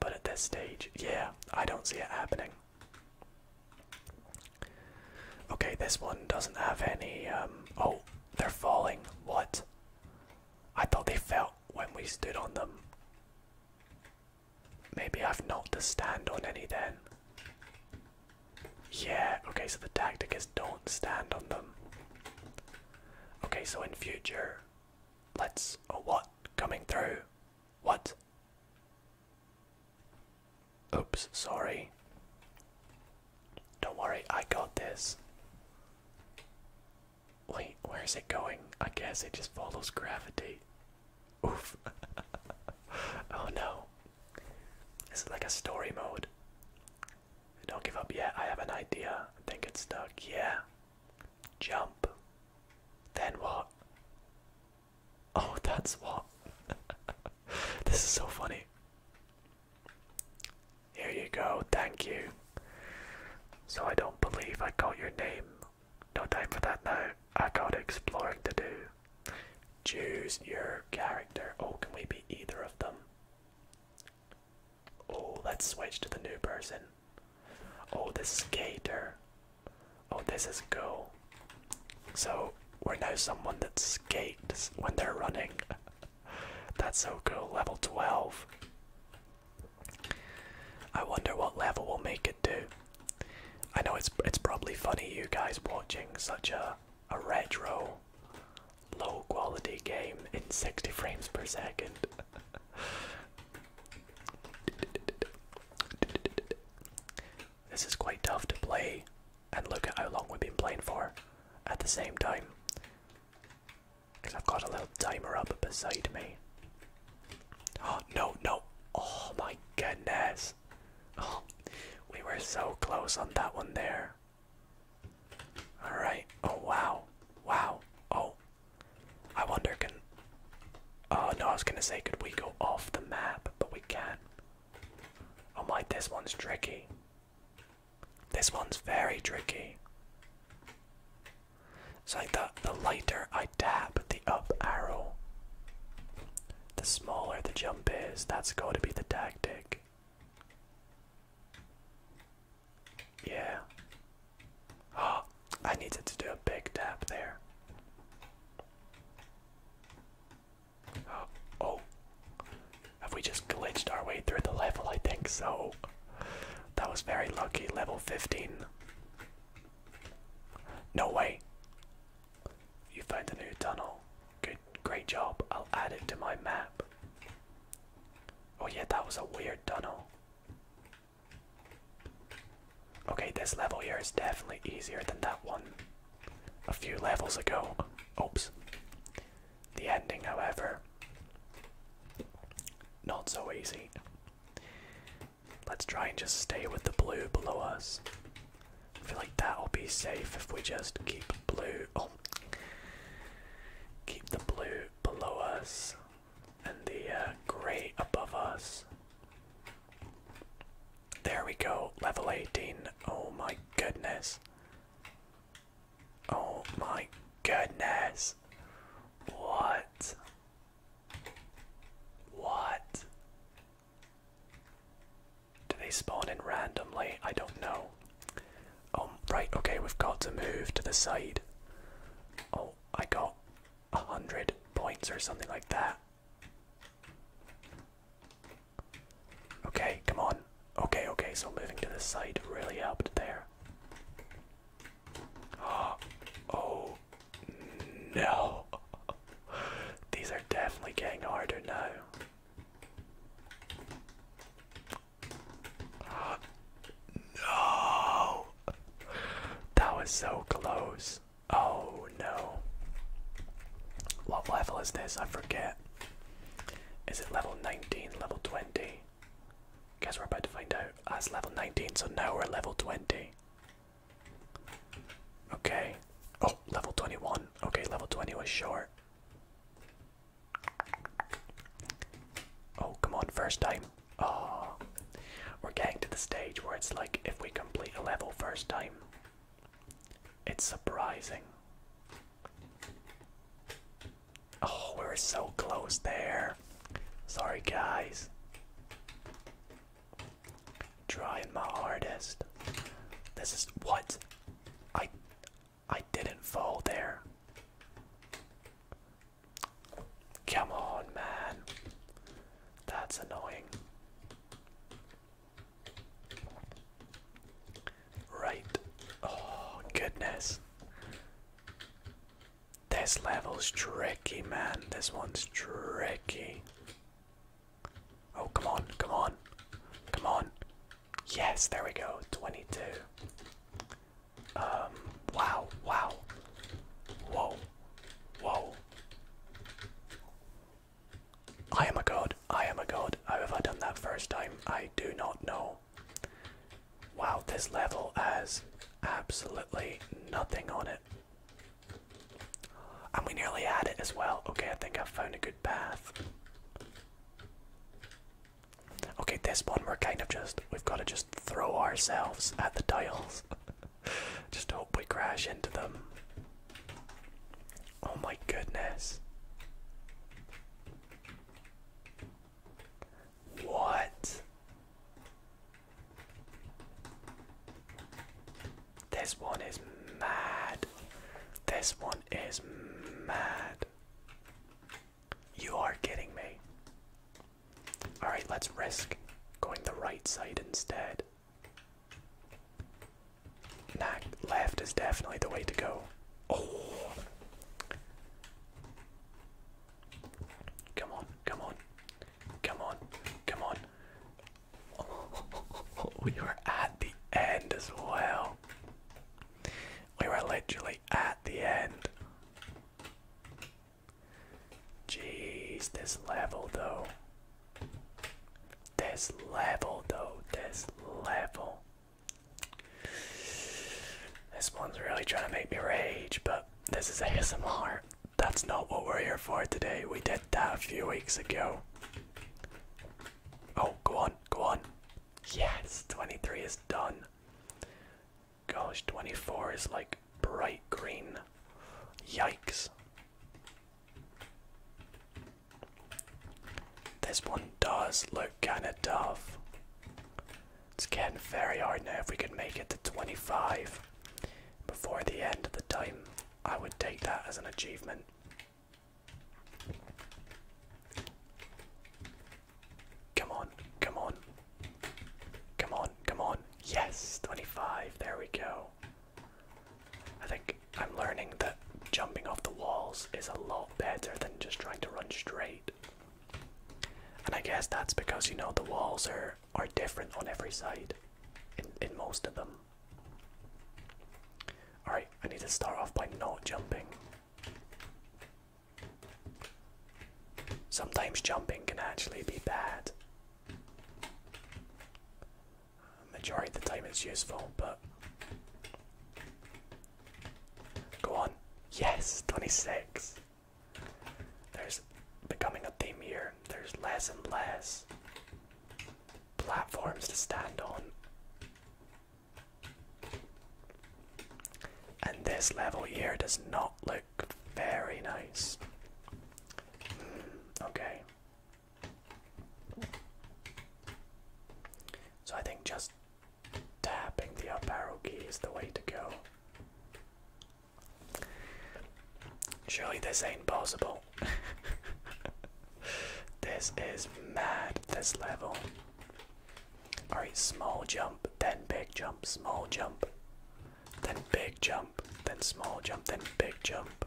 But at this stage, yeah, I don't see it happening. Okay, this one doesn't have any. Um, oh, they're falling. What? I thought they felt when we stood on them. Maybe I've not to stand on any then. Yeah, okay, so the tactic is don't stand on them. Okay, so in future, let's. Oh, what? Coming through. What? Oops, sorry. Don't worry, I got this. Wait, where is it going? I guess it just follows gravity. Oof. *laughs* oh no. Is it like a story mode. Don't give up yet. I have an idea. I think it's stuck. Yeah. Jump. Then what? Oh, *laughs* that's what. *laughs* this is so funny. Here you go. Thank you. So I don't believe I got your name. No time for that now. I got exploring to do. Choose your character. Oh, can we be either of them? Oh, let's switch to the new person. Oh, this skater. Oh, this is Go. So, we're now someone that skates when they're running. *laughs* That's so cool. Level 12. I wonder what level will make it do. I know it's it's probably funny you guys watching such a a retro low quality game in 60 frames per second. this is quite tough to play, and look at how long we've been playing for at the same time. Because I've got a little timer up beside me. Oh, no, no. Oh my goodness. Oh, we were so close on that one there. All right. Oh wow. Wow. Oh. I wonder can Oh no, I was gonna say could we go off the map, but we can't. Oh my, this one's tricky. This one's very tricky. So like the the lighter I tap the up arrow, the smaller the jump is. That's going to be the tactic. Yeah. Oh, I needed to do a big tap there. Oh, oh. Have we just glitched our way through the level? I think so. That was very lucky. Level 15. No way. You found a new tunnel. Good, great job. I'll add it to my map. Oh yeah, that was a weird tunnel. Okay, this level here is definitely easier than that one a few levels ago. Oops. The ending, however, not so easy. Let's try and just stay with the blue below us. I feel like that'll be safe if we just keep blue. Oh, Keep the blue below us and the uh, gray above us. There we go, level 18. Oh my goodness. Oh my goodness. What? What? Do they spawn in randomly? I don't know. Oh, right, okay, we've got to move to the side. Oh, I got a hundred points or something like that. Okay, come on. Okay, okay, so moving to the side really helped there. Oh, *gasps* oh no. *laughs* These are definitely getting harder now. No! That was so close. Oh no. What level is this? I forget. Is it level 19, level 20? Guess we're about to find out. That's ah, level 19, so now we're at level 20. Okay. Oh, level 21. Okay, level 20 was short. Oh, come on, first time. Oh, we're getting to the stage where it's like if we complete a level first time, it's surprising. Oh, we are so close there. Sorry, guys. Trying my hardest. This is what I I didn't fall there. Come on, man. That's annoying. Right. Oh, goodness. This level's tricky, man. This one's tricky. Oh, come on, come on, come on. Yes, there we go. 22. Um, wow, wow. Whoa. Whoa. I am a god. I am a god. How have I done that first time? I do not know. Wow, this level has absolutely nothing on it. And we nearly had it as well. Okay, I think I've found a good path. Okay, this one we're kind of just we've got to just throw ourselves at the tiles. *laughs* just hope we crash into them. Oh my goodness. What? This one is mad. This one is mad. You are kidding me. Alright, let's risk going the right side instead. Nah, left is definitely the way to go. Oh! Come on, come on, come on, come on. *laughs* we are at the end as well. We were literally at the end. Jeez, this level though. This level though, this level. This one's really trying to make me rage, but this is a ASMR. That's not what we're here for today. We did that a few weeks ago. Oh, go on, go on. Yes, 23 is done. Gosh, 24 is like bright green. Yikes. This one does look kinda tough. It's getting very hard now. If we could make it to 25 before the end of the time, I would take that as an achievement. Come on, come on. Come on, come on. Yes, 25. There we go. I think I'm learning that jumping off the walls is a lot better than just trying to run straight. And I guess that's because you know the walls are are different on every side in in most of them. Alright, I need to start off by not jumping. Sometimes jumping can actually be bad. Majority of the time it's useful, but. Go on. Yes, 26. There's becoming a theme here. There's less and less platforms to stand on. And this level here does not look very nice. Hmm, okay. So I think just tapping the up arrow key is the way to go. Surely this ain't possible. *laughs* this is mad, this level. Alright, small jump, then big jump, small jump, then big jump, then small jump, then big jump.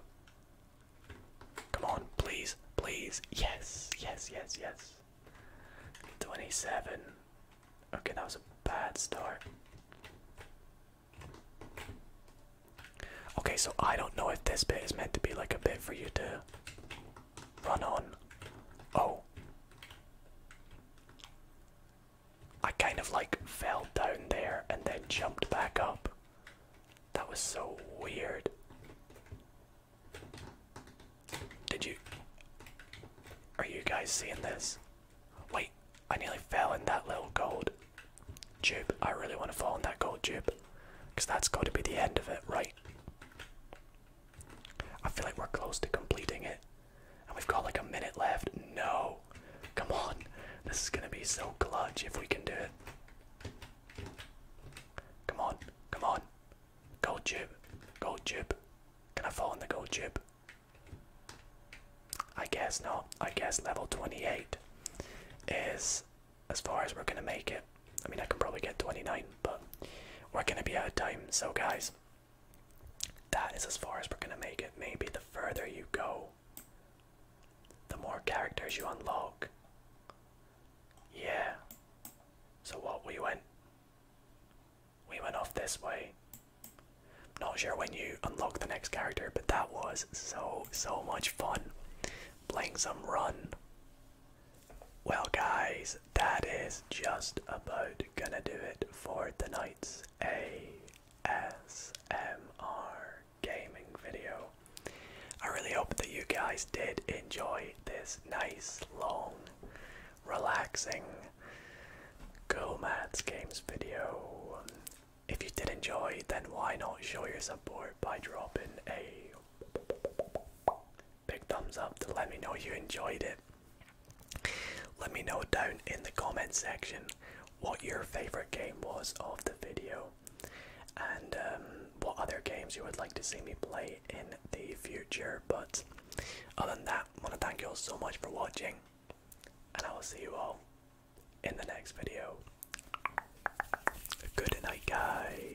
Come on, please, please. Yes, yes, yes, yes. 27. Okay, that was a bad start. Okay, so I don't know if this bit is meant to be like a bit for you to Run on. Oh. I kind of like fell down there and then jumped back up. That was so weird. Did you. Are you guys seeing this? Wait, I nearly fell in that little gold tube. I really want to fall in that gold tube. Because that's got to be the end of it, right? I feel like we're close to completing it. And we've got like a minute left. No. Come on. This is gonna be so clutch if we can do it. Come on. Come on. Gold jib, Gold jib. Can I fall in the gold jib? I guess not. I guess level 28 is as far as we're gonna make it. I mean, I can probably get 29, but we're gonna be out of time. So, guys, that is as far as we're gonna make it. Maybe the further you go, the more characters you unlock. Yeah. So, what we went, we went off this way. Not sure when you unlock the next character, but that was so so much fun playing some run. Well, guys, that is just about gonna do it for tonight's ASMR gaming video. I really hope that you guys did enjoy this nice, long, relaxing Gomads Games video. If you did enjoy, then why not show your support by dropping a big thumbs up to let me know you enjoyed it. Let me know down in the comment section what your favorite game was of the video and um, what other games you would like to see me play in the future. But other than that, I want to thank you all so much for watching, and I will see you all in the next video. Good night, guys.